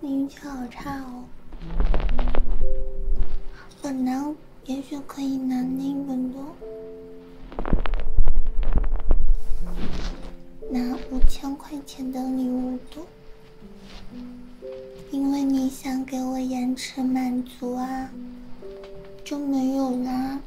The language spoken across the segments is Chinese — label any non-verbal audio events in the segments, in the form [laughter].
你运气好差哦，很难，也许可以拿那本的，拿五千块钱的礼物的，因为你想给我延迟满足。足啊，就没有啦。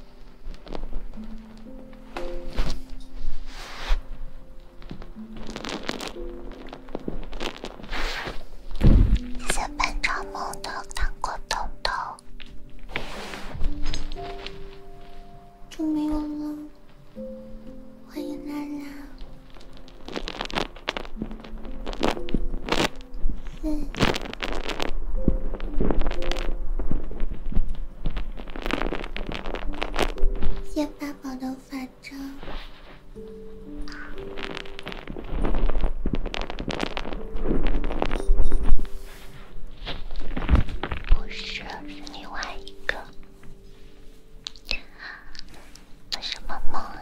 谢谢班长梦的糖果彤彤就没有了。欢迎拉拉。谢八宝的法杖，不是是另外一个。做什么梦啊？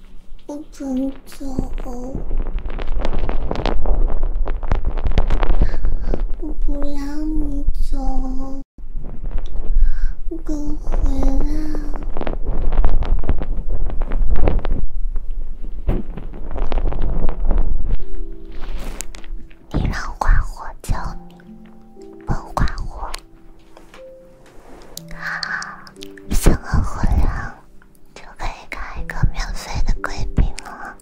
不准走！我不让你走！给我回来！你让花火教你，笨花火，想和我聊。就可以看一个免费的贵宾了，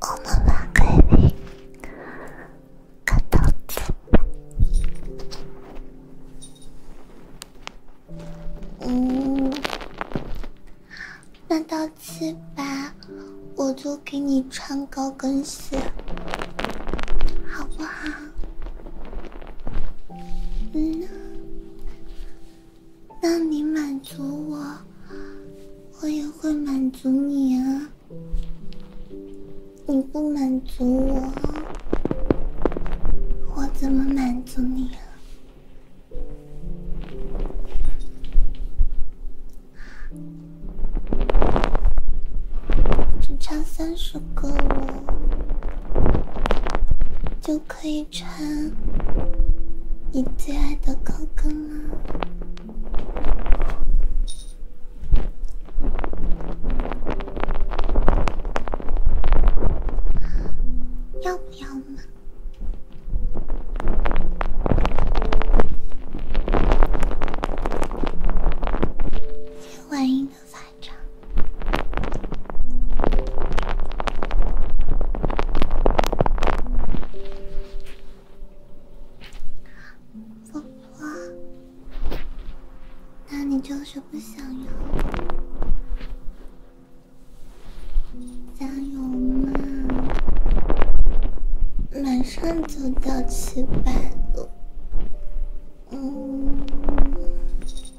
我们把贵宾看到你。嗯，那到七百，我就给你穿高跟鞋，好不好？嗯，那你满足我，我也会满足你啊。你不满足我，我怎么满足你啊？只差三十个了。就可以穿你最爱的高跟啊，要不要嘛？欢迎。风花，那你就是不想要？加油嘛，马上就到七百了，嗯。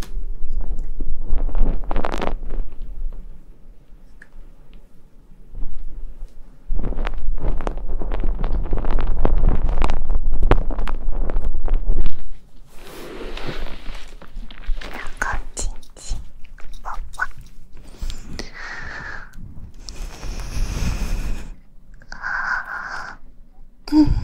こちんちうん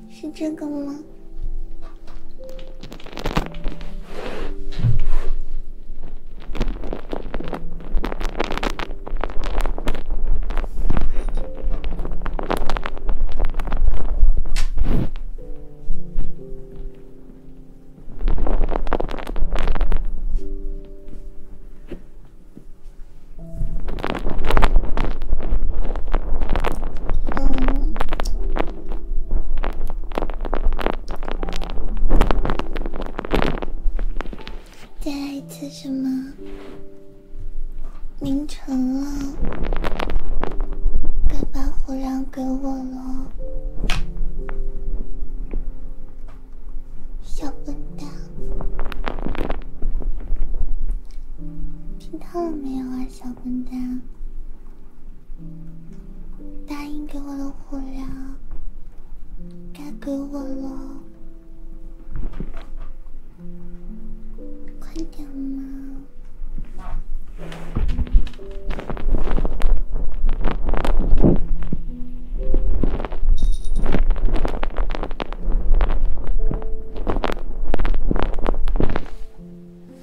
是这个吗？再一次什么？凌晨了，该把火让给我了，小笨蛋，听到了没有啊，小笨蛋？答应给我的火粮，该给我了，快点吗？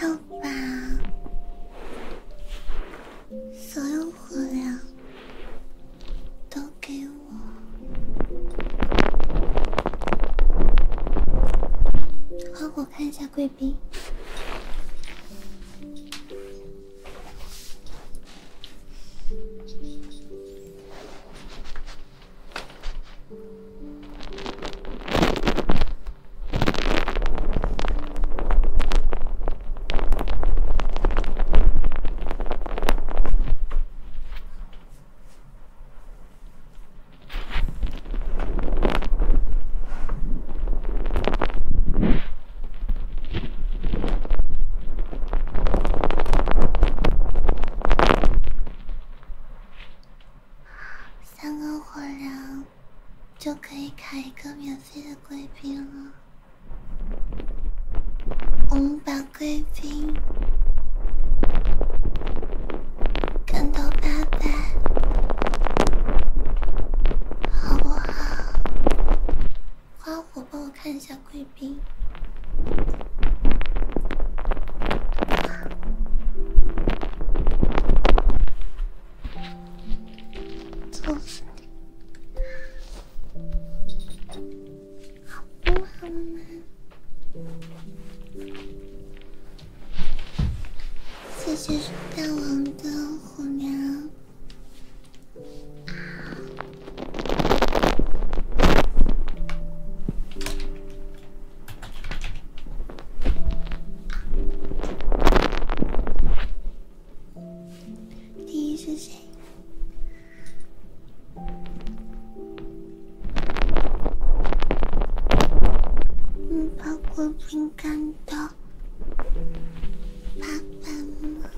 要把所有火粮都给我，好，我看一下贵宾。三个火人。就可以卡一个免费的贵宾了。我们把贵宾干到八百，好不好？花火，帮我看一下贵宾。揍死你！好不好嘛？谢谢大王的虎苗。第一是谁？你把果皮干掉，爸爸妈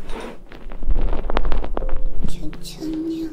求求你了。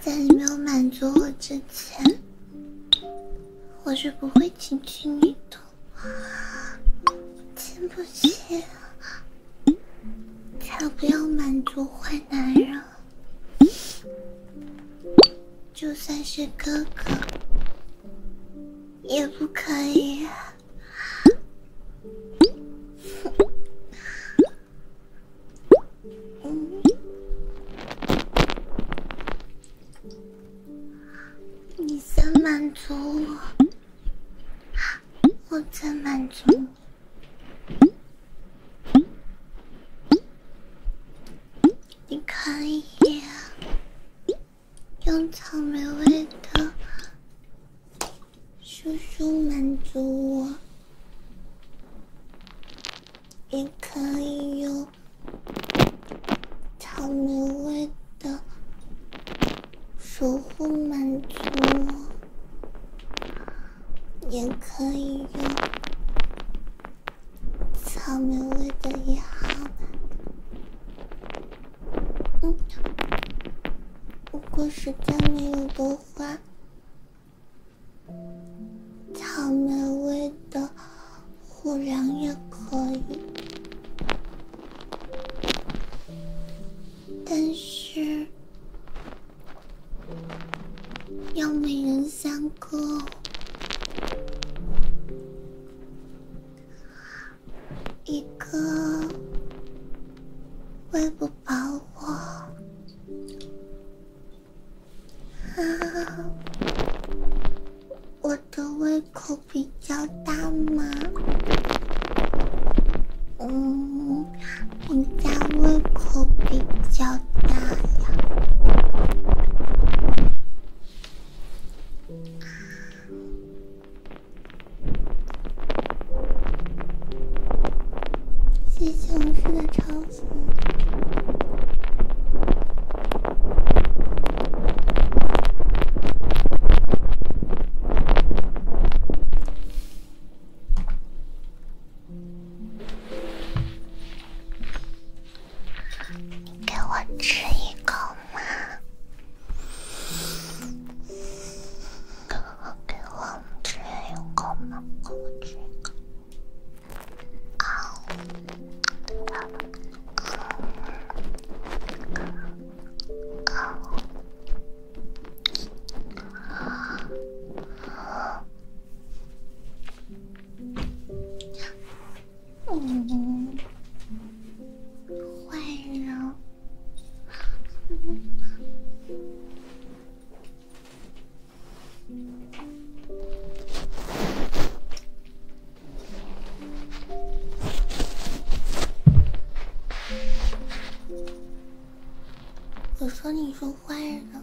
在你没有满足我之前，我是不会亲亲你的。亲不起，才不要满足坏男人，就算是哥哥，也不可以。你先满足我，我再满足你。你一眼，用草莓味的叔叔满足我。也可以用草莓味的守护满足，也可以用草莓味的一号嗯，如果实在没有的话。草莓味的虎粮也可以，但是要每人三个，一个喂不饱我。啊，[laughs] 我的胃口比较大吗？嗯，你家胃口比较大呀。谢谢老师的超。你给我吃一口吗？给我吃一口吗？给我吃一口。哦。哦。嗯，坏了。我说你是坏人。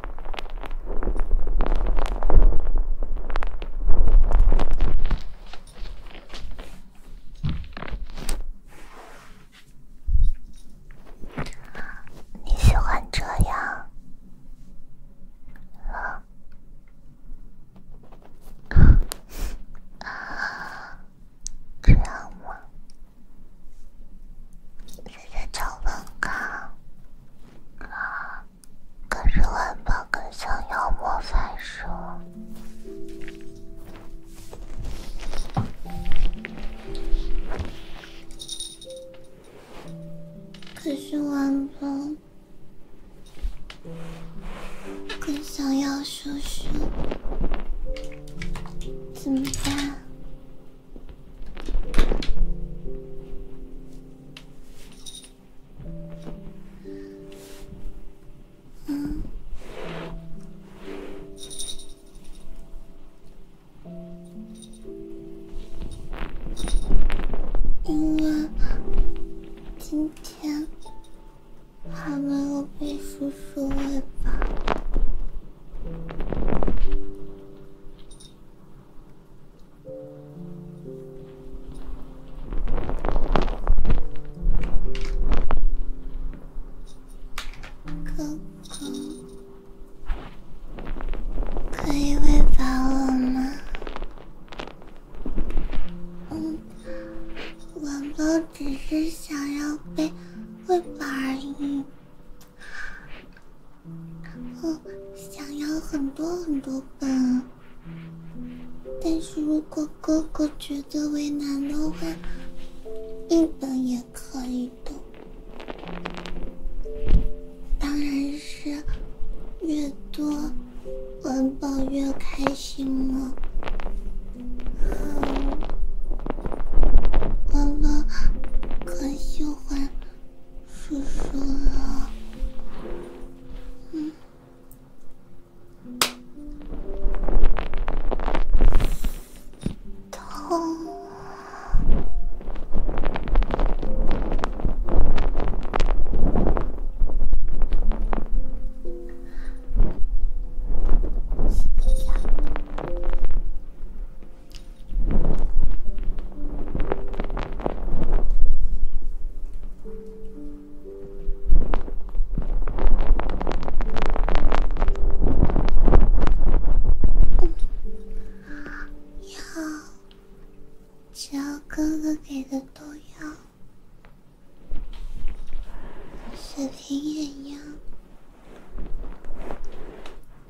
你喜欢这样？啊？这样吗？你 [laughs] 在找文康哥。可是晚宝更想要魔法书。可是晚宝更想要叔叔，怎么办？嗯，哎呀，今天还没有被叔叔喂吧？哥哥，可以喂饱我吗？嗯，宝宝只是想要被喂饱而已。嗯，想要很多很多本，但是如果哥哥觉得为难的话，一本也可以的。当然，是越多文宝越开心了。文宝可喜欢。叔叔啊，嗯，痛。啊！要，只要哥哥给的都要，水平也一样。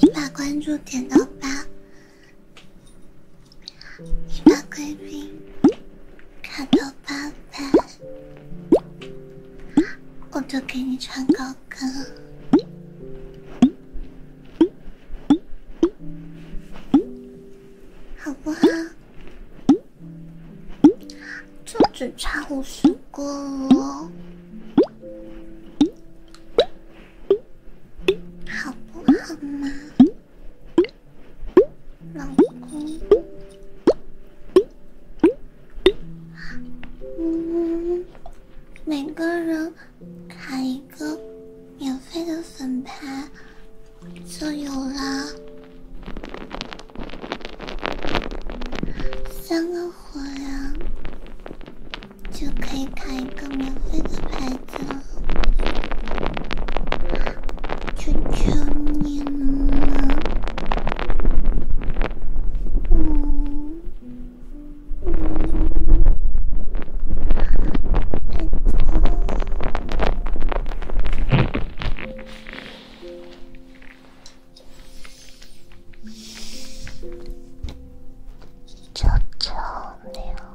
你把关注点到八。你把贵宾卡到八百，我就给你穿高跟，好不好？就只差五十个，了，好不好嘛？老公，嗯，每个人卡一个免费的粉牌就有了，三个火呀，就可以卡一个免费的牌。求求你了，嗯嗯，拜托，求求你了，妈。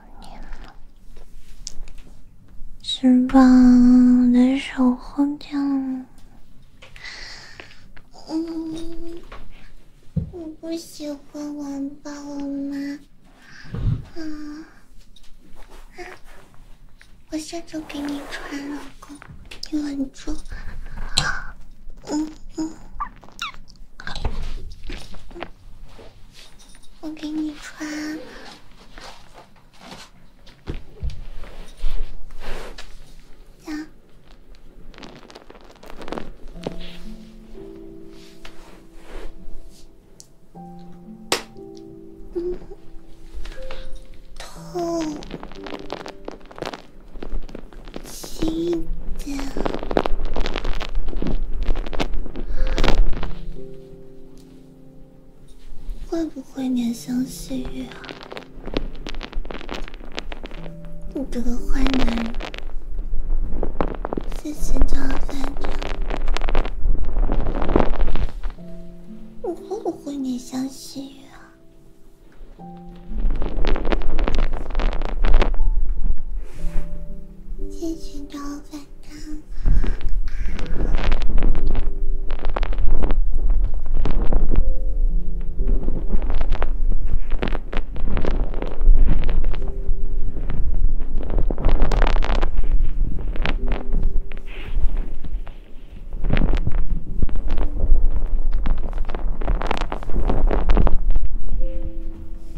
是吧？我的手好烫。嗯，我不喜欢玩吧，我妈。啊我下周给你穿，老公，你稳住。嗯嗯。我给你穿，呀，嗯，痛，心。会不会怜香惜玉啊？你这个坏男人！谢谢张三姐，你会不会怜香惜玉啊？谢继续找反张。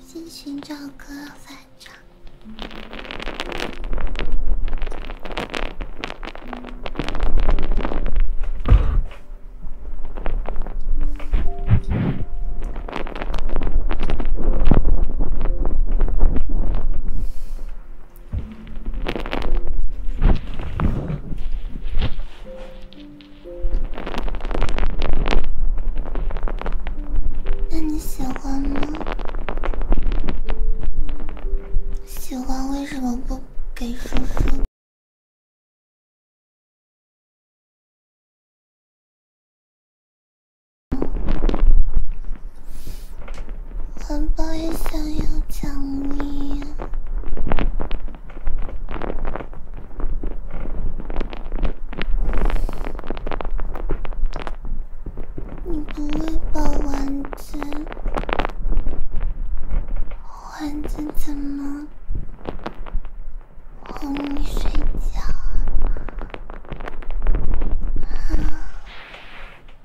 先寻找个反杖。那你喜欢吗？喜欢为什么不给叔叔？环保也想要奖励，你不会抱丸子，丸子怎么哄你睡觉啊？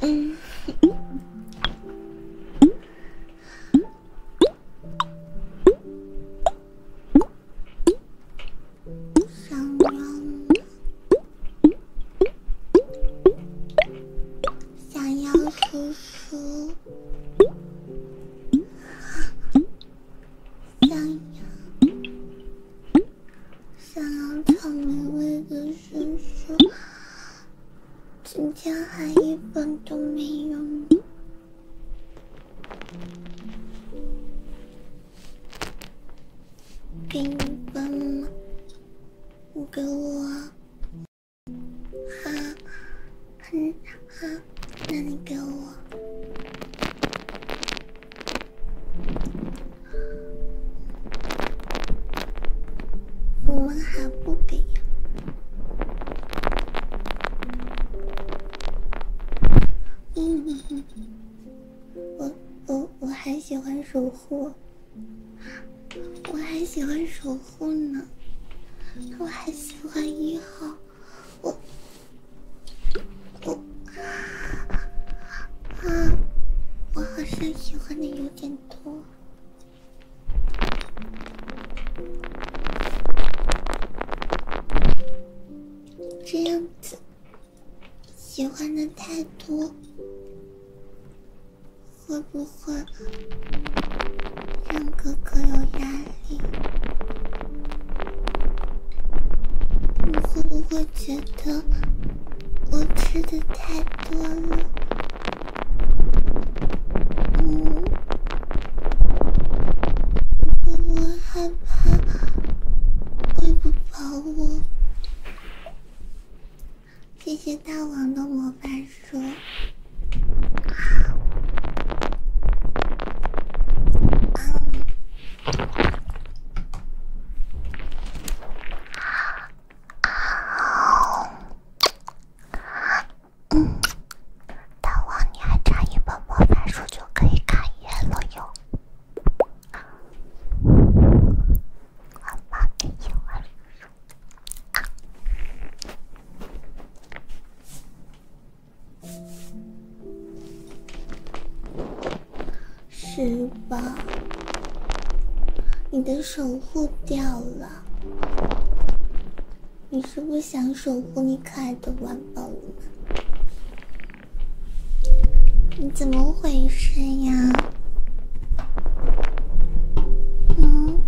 嗯，想要，想要读书，想要，想要成为一只。叔叔，今天还一本都没有呢。给你吧吗？你给我啊？嗯、很啊？那你给我。我们还不给呀？嗯哼我我我还喜欢守护，我还喜欢守护呢，我还喜欢一号，我我啊，我好像喜欢的有点多。这样子，喜欢的太多，会不会让哥哥有压力？你会不会觉得我吃的太多了？嗯，我害怕，追不跑我。谢谢大王的魔法书。嗯。好，嗯，大王，你还差一本魔法书就可以开业了哟。啊，魔法的夜晚，啊，是。宝，你的守护掉了，你是不想守护你可爱的玩宝吗？你怎么回事呀？嗯？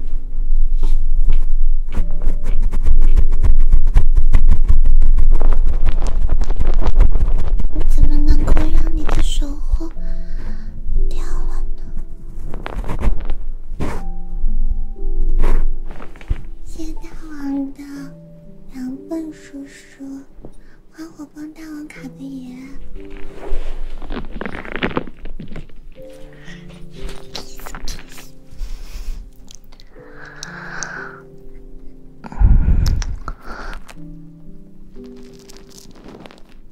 我怎么能够让你的守护？掉了的，谢大王的，羊笨叔叔，花火帮大王卡的爷。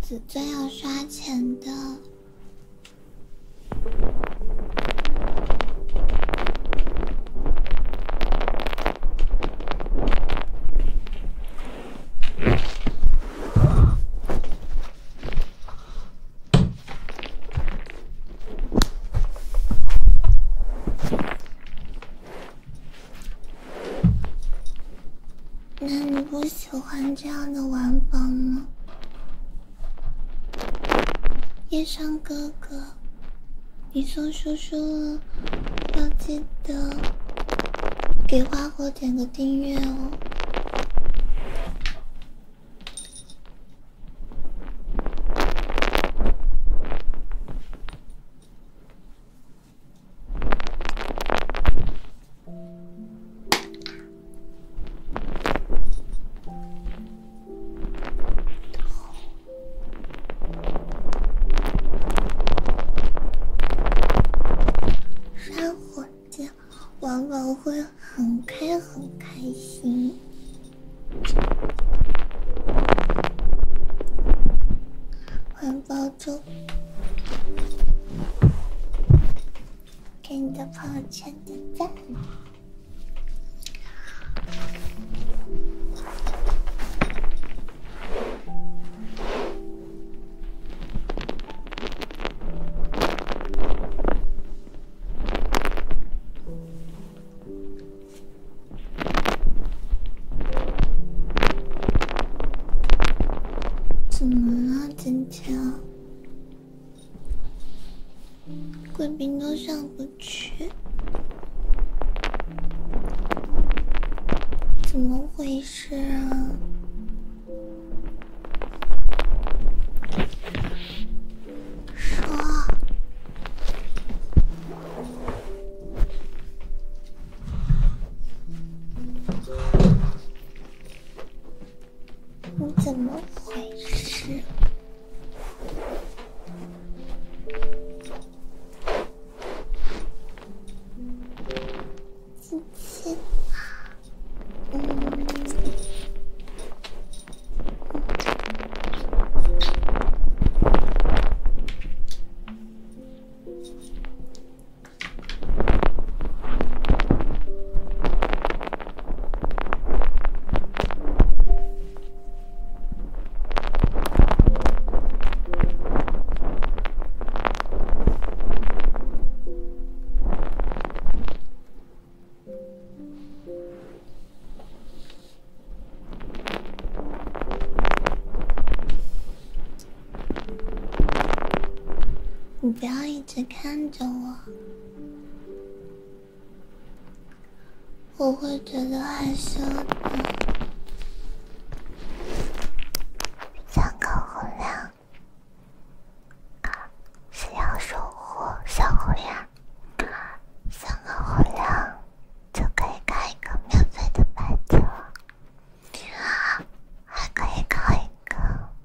紫钻要刷钱的。那你不喜欢这样的玩法吗？夜上哥哥，你送叔叔要记得给花火点个订阅哦。刷火箭往往会很开很开心，环保中，给你的朋友圈点赞。怎么了，今天？贵宾都上不去，怎么回事啊？说。你怎么回事？你不要一直看着我。我会觉得害羞的。三个红亮啊，要收获小红呀。三个红亮就可以开一个免费的白头，还可以开一个。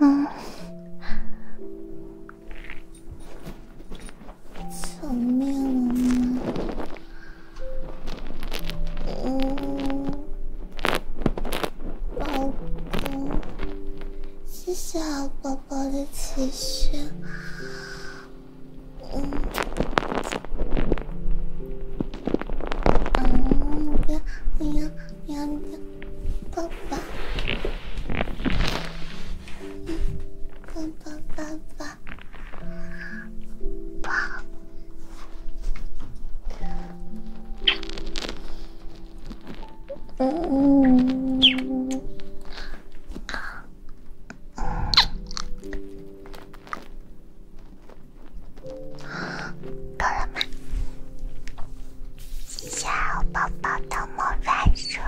嗯，小喵，嗯，老公，谢谢啊，宝宝的奇遇，嗯，嗯，不要，不要，不要。爸爸，爸爸，爸爸，爸，嗯，到了吗？谢谢好宝宝的魔法书。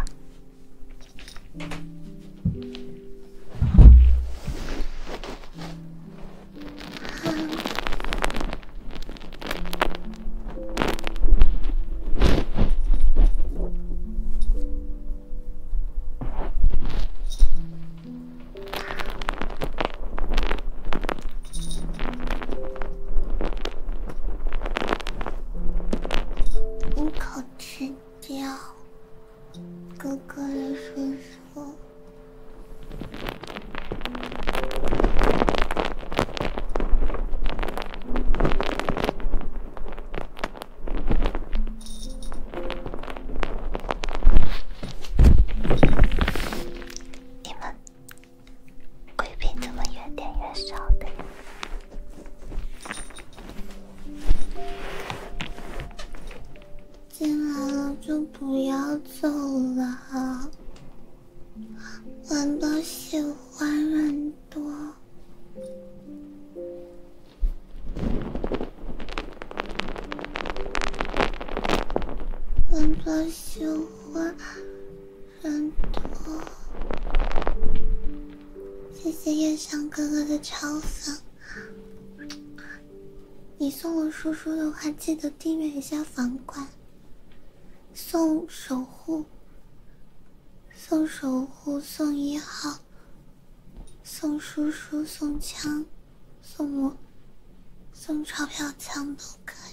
一口吃掉哥哥的叔叔，你们。贵宾怎么越点越少的？进来了就不要走了。我都喜欢人多，我喜欢。很多，谢谢夜香哥哥的超粉。你送我叔叔的话，记得订阅一下房管。送守护，送守护，送一号，送叔叔，送枪，送我，送钞票枪都可以。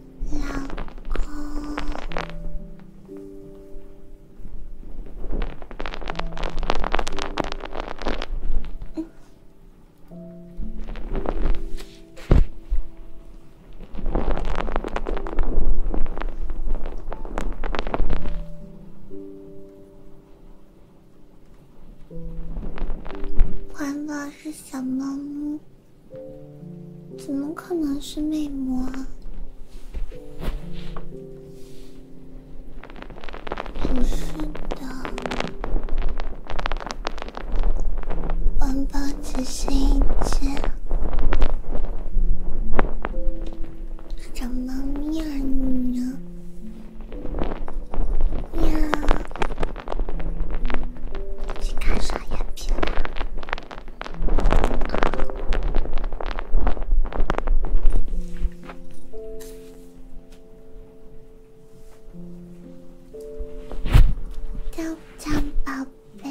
老公，欢乐是小猫咪。怎么可能是魅魔啊？不是的，宝只是一只小猫咪而已呢？喵。去干啥呀，皮皮？宝贝。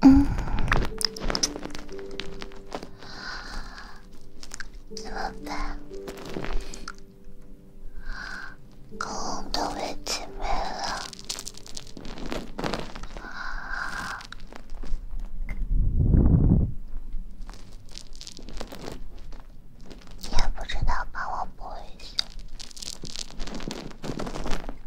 嗯，怎么办？公文都被挤没了，也不知道帮我播一下。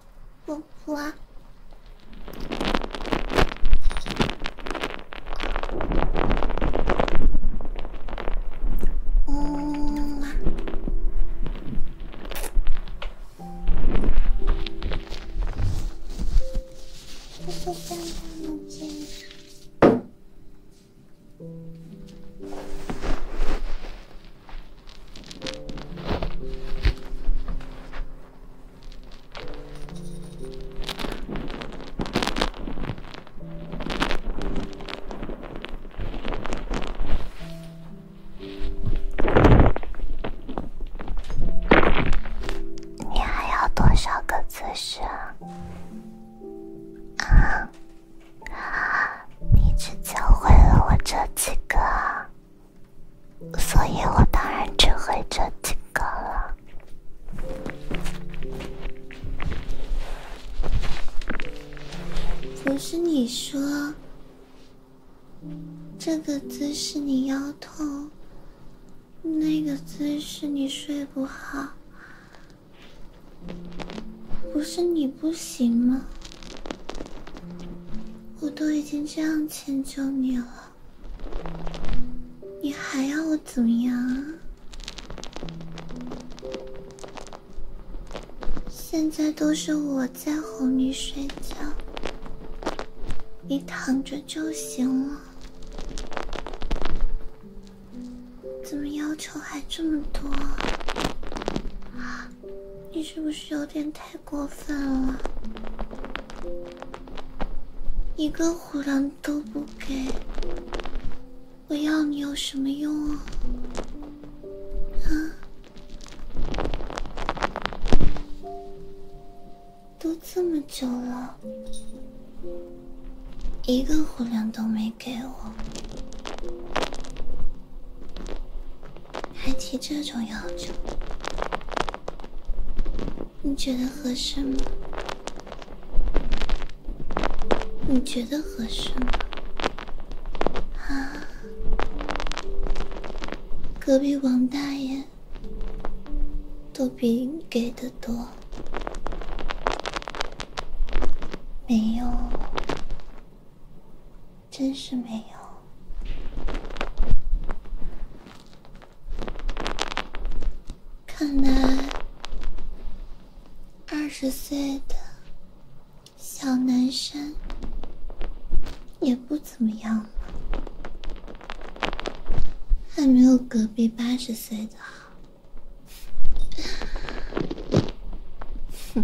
我，嗯啊，我你还要多少个姿势啊？啊，你只教会了我这几个。所以我当然只会这几个了。不是你说这个姿势你腰痛，那个姿势你睡不好，不是你不行吗？我都已经这样迁就你了，你还要我怎么样？啊？现在都是我在哄你睡觉，你躺着就行了，怎么要求还这么多？你是不是有点太过分了？一个虎粮都不给，我要你有什么用啊？啊，都这么久了，一个虎粮都没给我。还提这种要求？你觉得合适吗？你觉得合适吗？啊！隔壁王大爷都比你给的多，没用。真是没有，看来二十岁的小男生也不怎么样吧？还没有隔壁八十岁的，哼，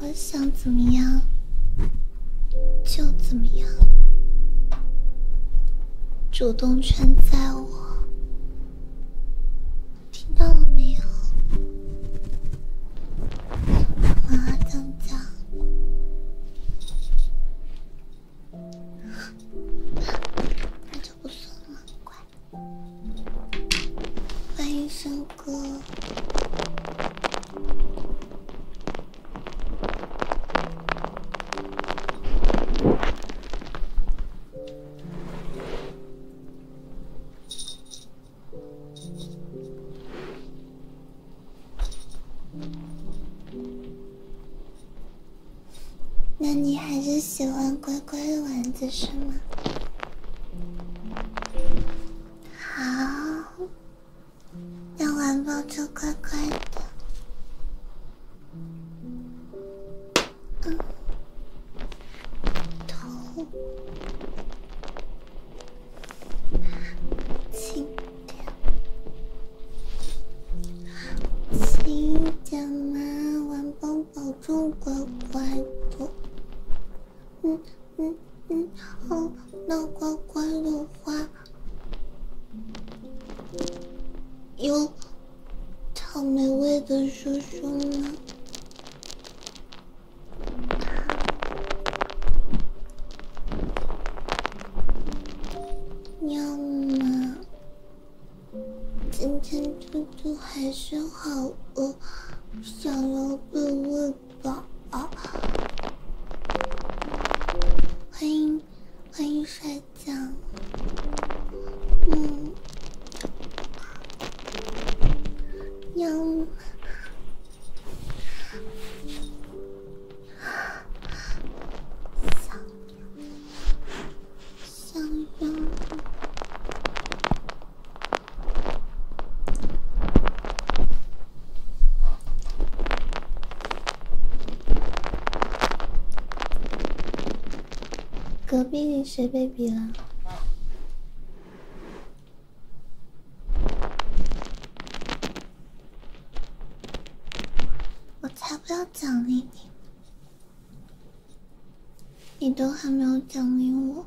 我想怎么样就怎么样，主动权在我，听到了没有？妈的，那就不送了，乖。欢迎生。哥，那你还是喜欢乖乖的丸子是吗？好。要玩抱就乖乖的，嗯，头，轻点，亲点嘛，玩抱保重，乖乖的。嗯嗯嗯，好，那乖乖的话，有草莓味的叔叔吗？要吗？今天嘟嘟还是好饿，想要被喂。哦哦，欢迎，欢迎睡觉，嗯，喵，想想小隔壁谁被比了？我才不要奖励你！你都还没有奖励我。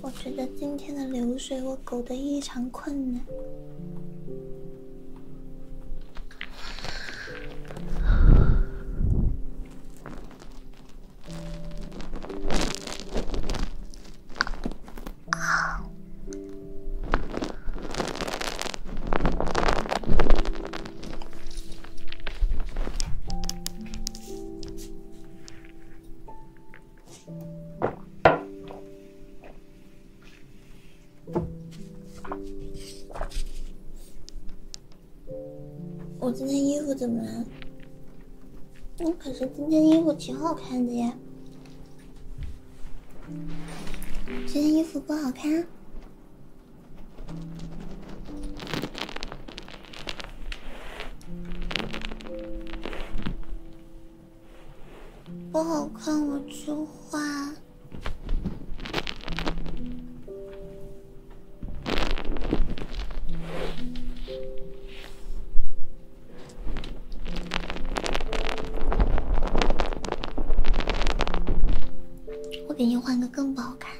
我觉得今天的流水我狗的异常困难。好。我今天衣服怎么了？我可是今天衣服挺好看的呀，这件衣服不好看。不好看我就换，我给你换个更不好看。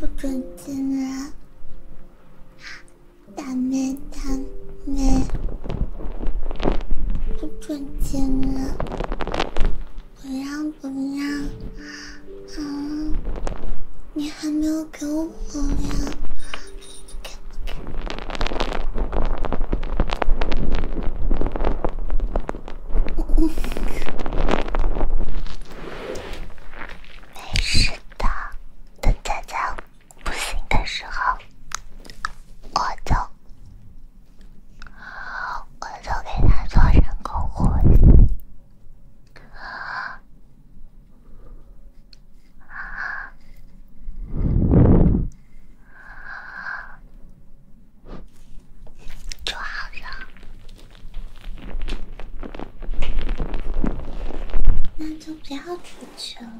不准进来，大妹大妹，不准进来，不让不让，啊，你还没有给我火呀！没事的，等佳佳不行的时候，我就我就给他做人工呼吸。就好了，那就不要出去了。